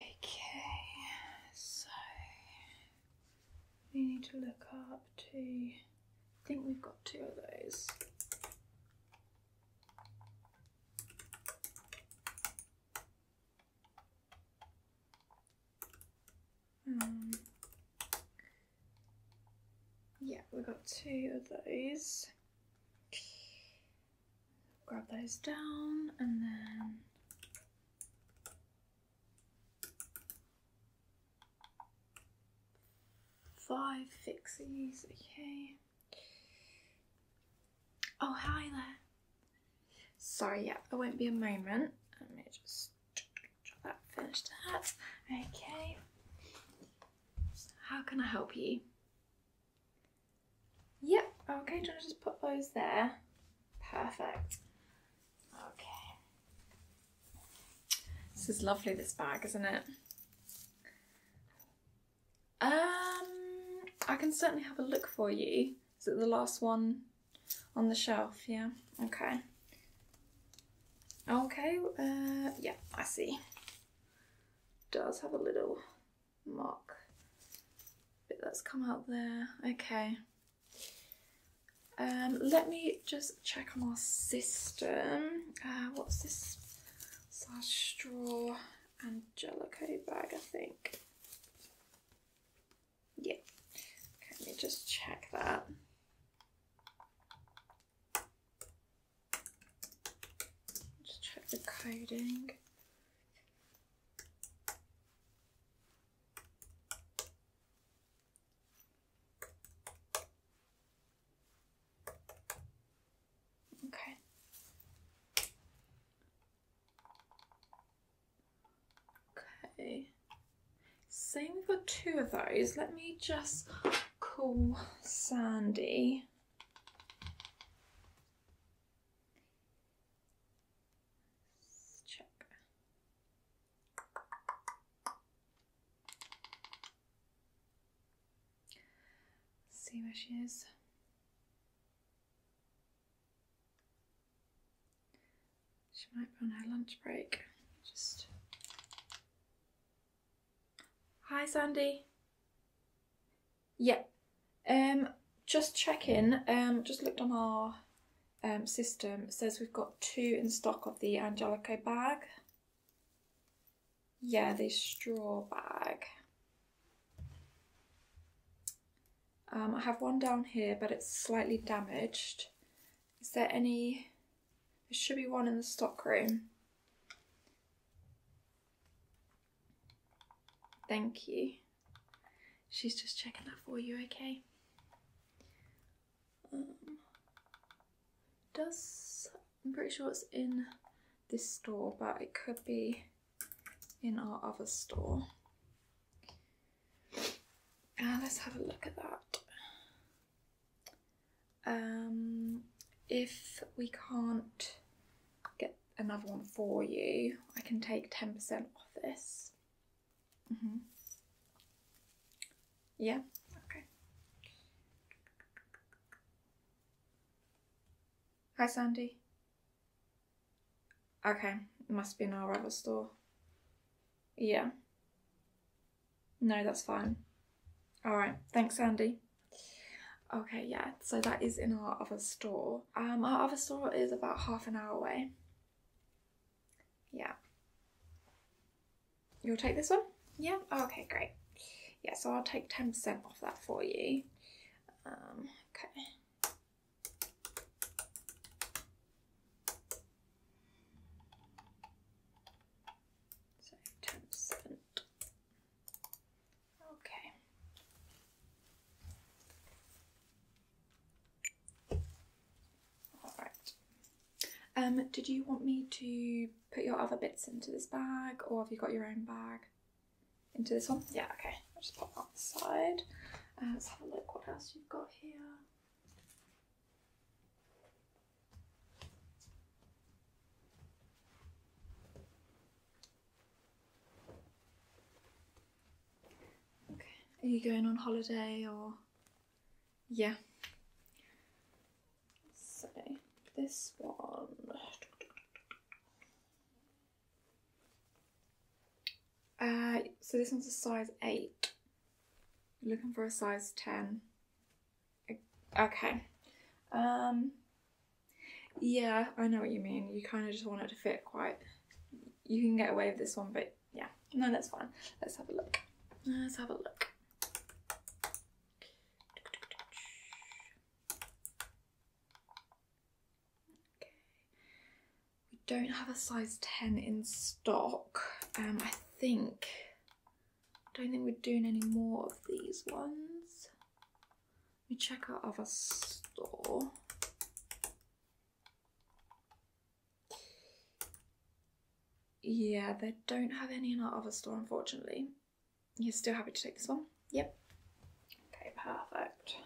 Okay, so we need to look up to, I think we've got two of those. Um, yeah, we've got two of those grab those down and then five fixies, okay. Oh, hi there. Sorry, yeah, I won't be a moment. Let me just that, finish that. Okay. How can I help you? Yep, okay, do you want to just put those there? Perfect. Okay. This is lovely, this bag, isn't it? Um, I can certainly have a look for you. Is it the last one on the shelf? Yeah, okay. Okay, uh, yeah, I see. Does have a little mark bit that's come out there. Okay. Um, let me just check on our system. Uh, what's this? Slash straw Angelico bag, I think. Yeah. let me just check that. Just check the coding. Okay. Okay. Saying we've got two of those, let me just call Sandy check. see where she is. She might be on her lunch break. Just Hi Sandy. Yeah. Um, just checking. Um, just looked on our um, system. says we've got two in stock of the Angelico bag. Yeah, the straw bag. Um, I have one down here, but it's slightly damaged. Is there any? There should be one in the stock room. Thank you. She's just checking that for you, okay? Um, does, I'm pretty sure it's in this store, but it could be in our other store. Uh, let's have a look at that. Um, if we can't get another one for you. I can take 10% off this. Mm-hmm. Yeah, okay. Hi, Sandy. Okay, must be in our other store. Yeah. No, that's fine. Alright, thanks, Sandy. Okay, yeah, so that is in our other store. Um, our other store is about half an hour away. Yeah. You'll take this one? Yeah? Oh, okay, great. Yeah, so I'll take 10% off that for you. Um, okay. So 10%. Okay. All right. Um, did you want me to put your other bits into this bag, or have you got your own bag into this one? Yeah. Okay. I'll just put that on the side. Uh, let's have a look what else you've got here. Okay. Are you going on holiday or? Yeah. So this one. Uh, so this one's a size 8. Looking for a size 10. Okay. Um, yeah, I know what you mean. You kind of just want it to fit quite. You can get away with this one, but yeah. No, that's fine. Let's have a look. Let's have a look. We don't have a size 10 in stock. Um, I think don't think we're doing any more of these ones. We me check our other store. Yeah, they don't have any in our other store, unfortunately. You're still happy to take this one? Yep. Okay, perfect.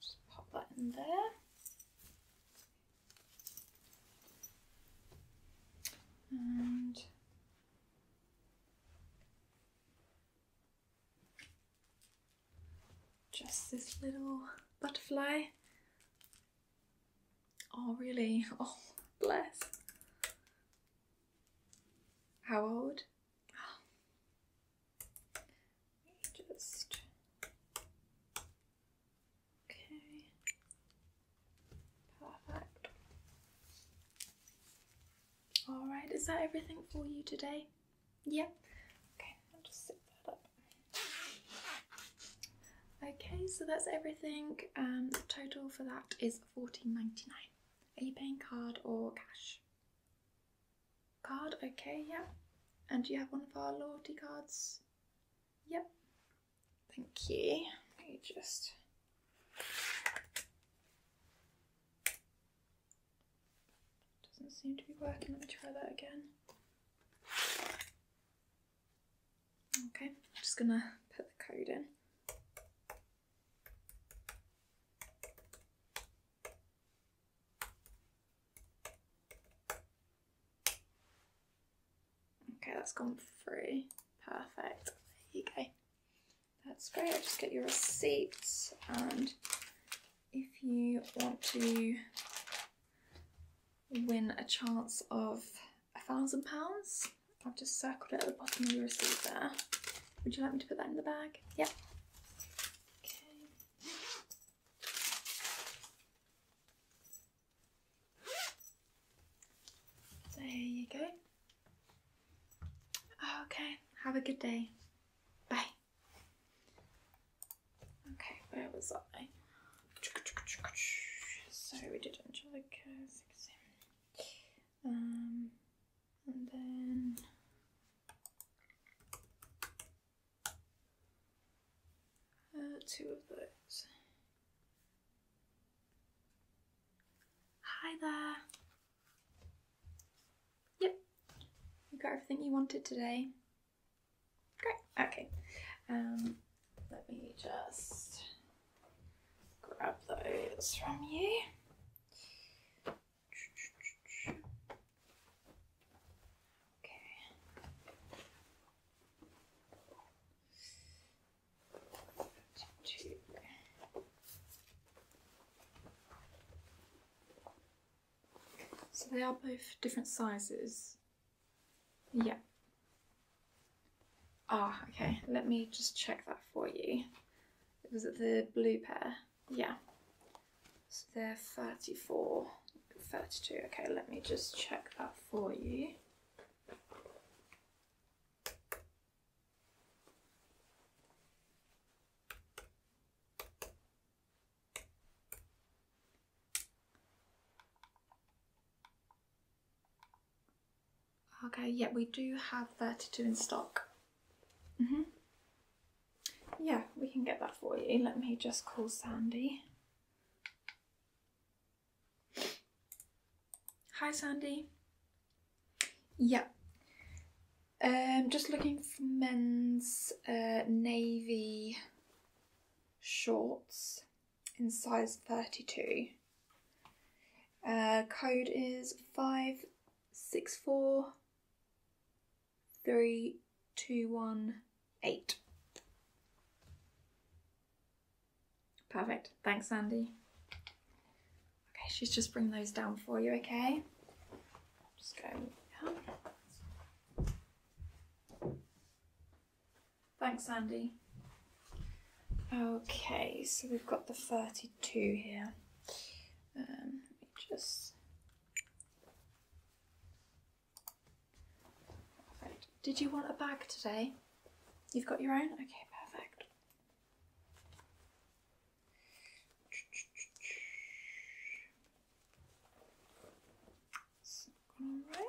Just pop that in there. And just this little butterfly. Oh, really? Oh, bless. How old? Just. Okay. Perfect. Alright, is that everything for you today? Yep. Okay, Okay, so that's everything. Um, the total for that is Fourteen ninety nine. Are you paying card or cash? Card, okay, yeah. And do you have one of our loyalty cards? Yep. Thank you. Let me just. Doesn't seem to be working. Let me try that again. Okay, I'm just gonna put the code in. Okay, that's gone through. Perfect. There you go. That's great. i just get your receipt, and if you want to win a chance of a thousand pounds I've just circled it at the bottom of the receipt there. Would you like me to put that in the bag? Yep. Okay. There you go. Oh, okay, have a good day. Bye. Okay, where was I? So we did enjoy um, and then uh, two of those. Hi there. Yep, you got everything you wanted today. Great. Okay. Um, let me just grab those from you. So they are both different sizes. Yeah. Ah, okay. Let me just check that for you. Was it the blue pair? Yeah. So they're 34, 32. Okay, let me just check that for you. Okay, yeah, we do have 32 in stock. Mm hmm Yeah, we can get that for you. Let me just call Sandy. Hi, Sandy. Yeah. Um, just looking for men's uh, navy shorts in size 32. Uh, code is 564321. Eight. Perfect. Thanks, Sandy. Okay, she's just bringing those down for you, okay? Just go. Thanks, Andy. Okay, so we've got the 32 here. Um, just. Perfect. Did you want a bag today? You've got your own? Okay, perfect. Alright.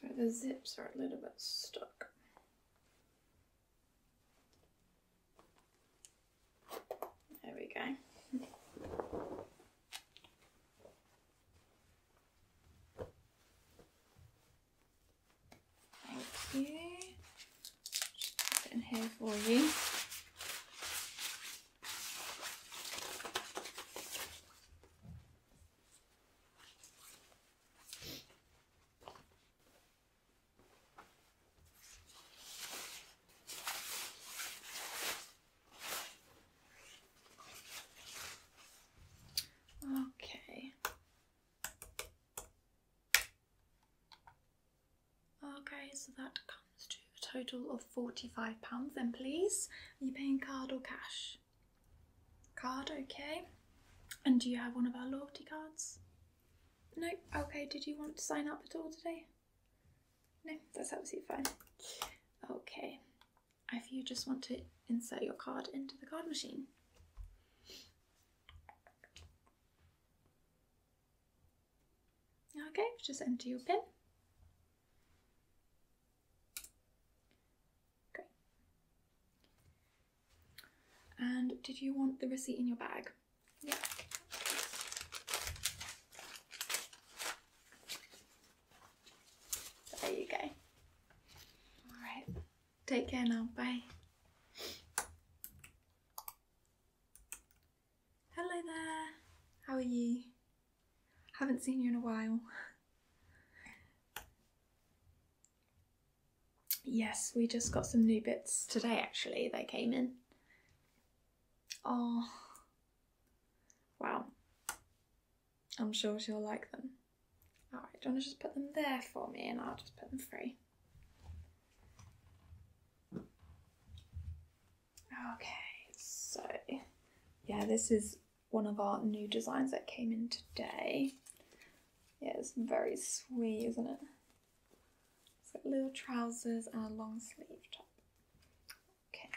So the zips are a little bit stuck. There we go. Thank you. in here for you. Okay. Okay, so that comes to a total of £45. Then please, are you paying card or cash? Card, okay. And do you have one of our loyalty cards? No? Okay, did you want to sign up at all today? No, that's absolutely fine. Okay, if you just want to insert your card into the card machine. Okay, just enter your pin. Great. And did you want the receipt in your bag? Yeah there you go. All right. Take care now. Bye. Hello there. How are you? Haven't seen you in a while. Yes, we just got some new bits today actually, they came in. Oh, wow. I'm sure she'll like them. Alright, do you want to just put them there for me and I'll just put them free? Okay, so yeah, this is one of our new designs that came in today. Yeah, it's very sweet, isn't it? It's got little trousers and a long sleeve top. Okay.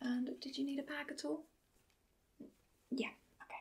And did you need a bag at all? Yeah, okay.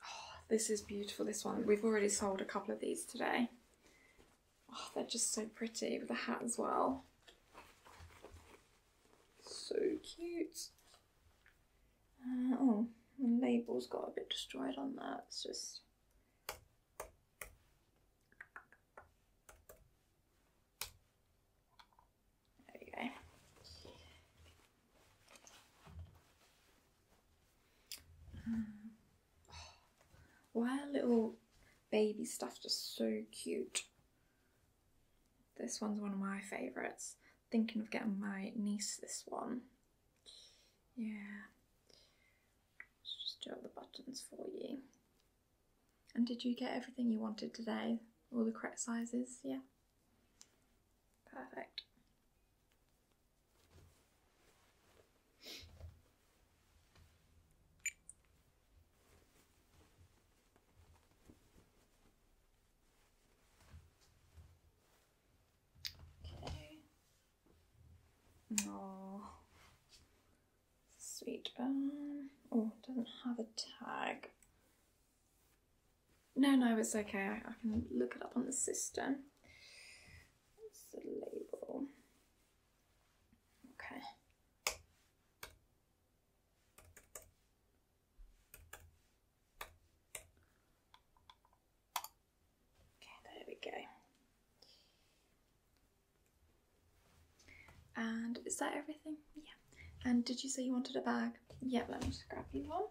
Oh, this is beautiful, this one. We've already sold a couple of these today. Oh, they're just so pretty with the hat as well. So cute. Uh, oh, the label's got a bit destroyed on that. It's just. There you go. Um, oh, why are little baby stuff just so cute? This one's one of my favourites. Thinking of getting my niece this one. Yeah. Let's just do all the buttons for you. And did you get everything you wanted today? All the correct sizes? Yeah. Perfect. Okay. Um, oh, sweet. oh, doesn't have a tag. No, no, it's okay. I, I can look it up on the system. What's the label? Okay. Okay, there we go. And is that everything? Yeah. And did you say you wanted a bag? Yeah, let me grab you one.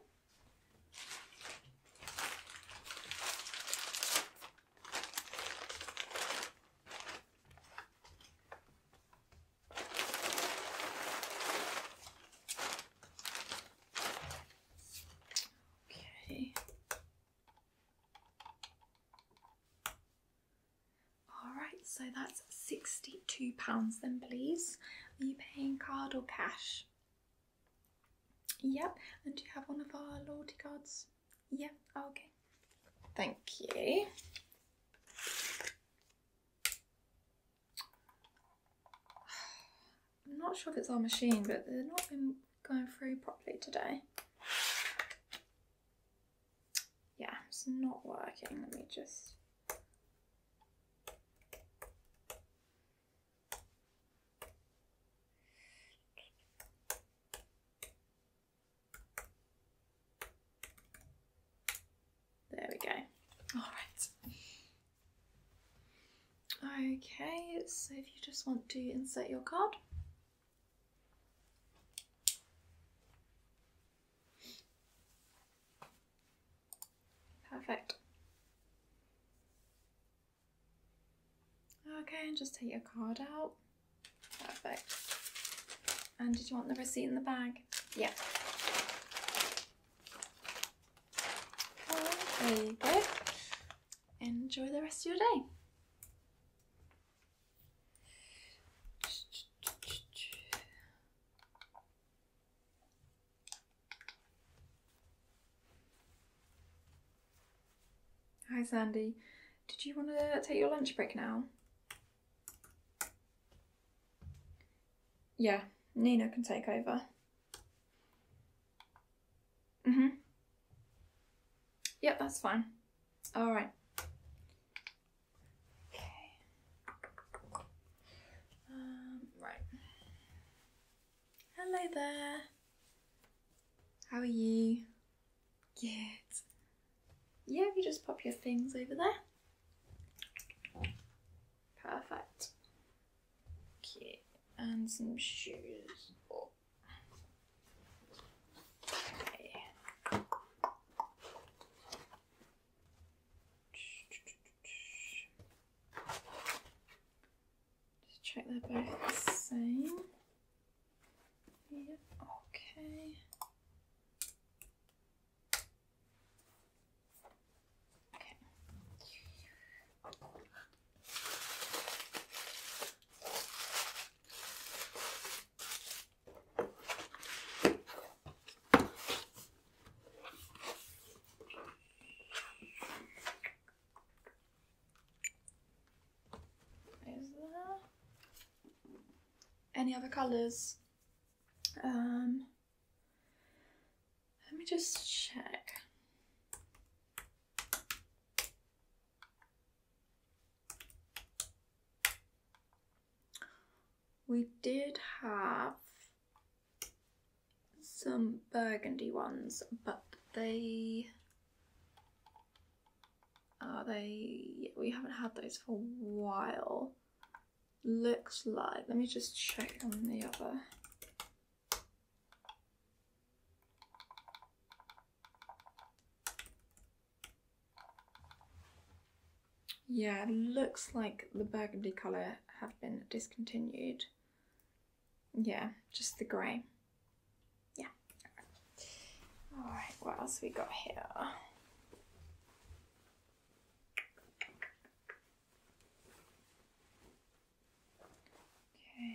Okay. Alright, so that's £62 then, please. Are you paying card or cash? Yep, and do you have one of our loyalty cards? Yeah, oh, okay. Thank you. I'm not sure if it's our machine, but they're not been going through properly today. Yeah, it's not working. Let me just... There we go. All right. Okay, so if you just want to insert your card. Perfect. Okay, and just take your card out. Perfect. And did you want the receipt in the bag? Yeah. there you go. Enjoy the rest of your day. Hi Sandy, did you want to take your lunch break now? Yeah, Nina can take over. Mm-hmm. Yep, that's fine. All right. Okay. Um, right. Hello there. How are you? Cute. Yeah, you just pop your things over there. Perfect. Okay, and some shoes. Oh. Okay. Just check they're both the same. Yeah, okay. Okay. Is there any other colours? Um, let me just check. We did have some burgundy ones, but they are they? We haven't had those for a while. Looks like. Let me just check on the other. Yeah, looks like the burgundy colour have been discontinued. Yeah, just the grey. Yeah. All right, what else we got here? Okay. Okay.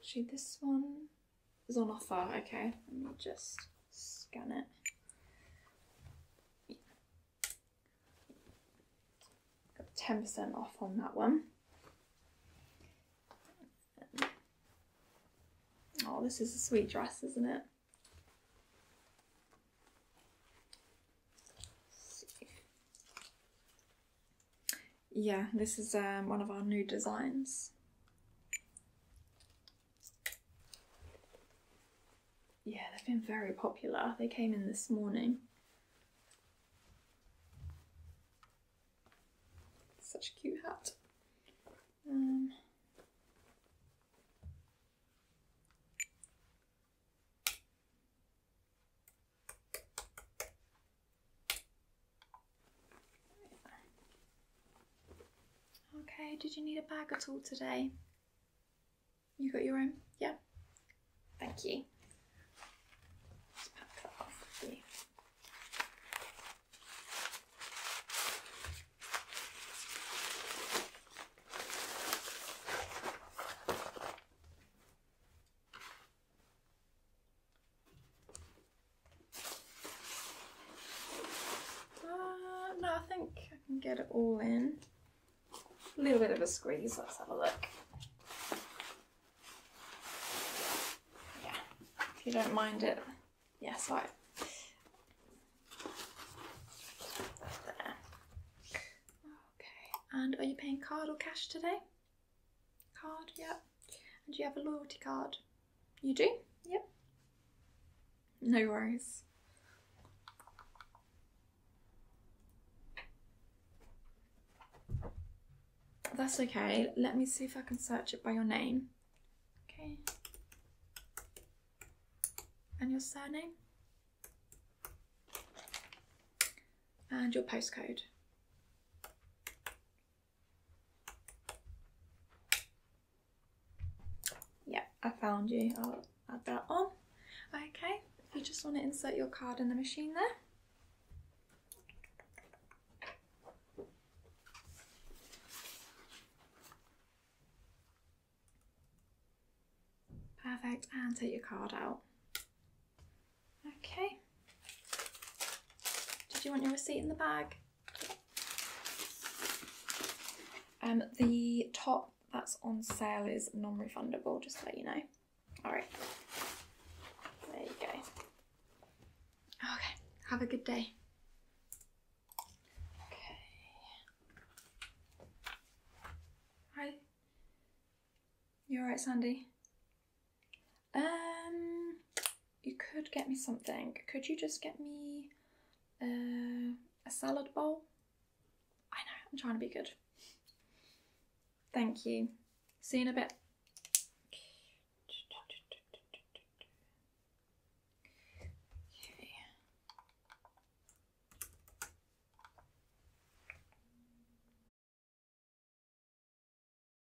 Actually, this one is on offer. Okay, let me just scan it. Got 10% off on that one. Oh, this is a sweet dress, isn't it? Yeah, this is um, one of our new designs. Yeah, they've been very popular. They came in this morning. Such a cute hat. Um, Okay, did you need a bag at all today? You got your own? Yeah. Thank you. Uh, no, I think I can get it all in. A little bit of a squeeze, let's have a look. Yeah, if you don't mind it. Yes, yeah, right. There. Okay, and are you paying card or cash today? Card, yep. Yeah. And do you have a loyalty card? You do? Yep. No worries. That's okay. Let me see if I can search it by your name. Okay. And your surname? And your postcode. Yeah, I found you. I'll add that on. Okay, you just want to insert your card in the machine there. Perfect, and take your card out. Okay, did you want your receipt in the bag? Um, the top that's on sale is non-refundable, just to let you know. All right. There you go. Okay, have a good day. Okay. Hi. You alright, Sandy? Um, you could get me something. Could you just get me uh, a salad bowl? I know, I'm trying to be good. Thank you. See you in a bit.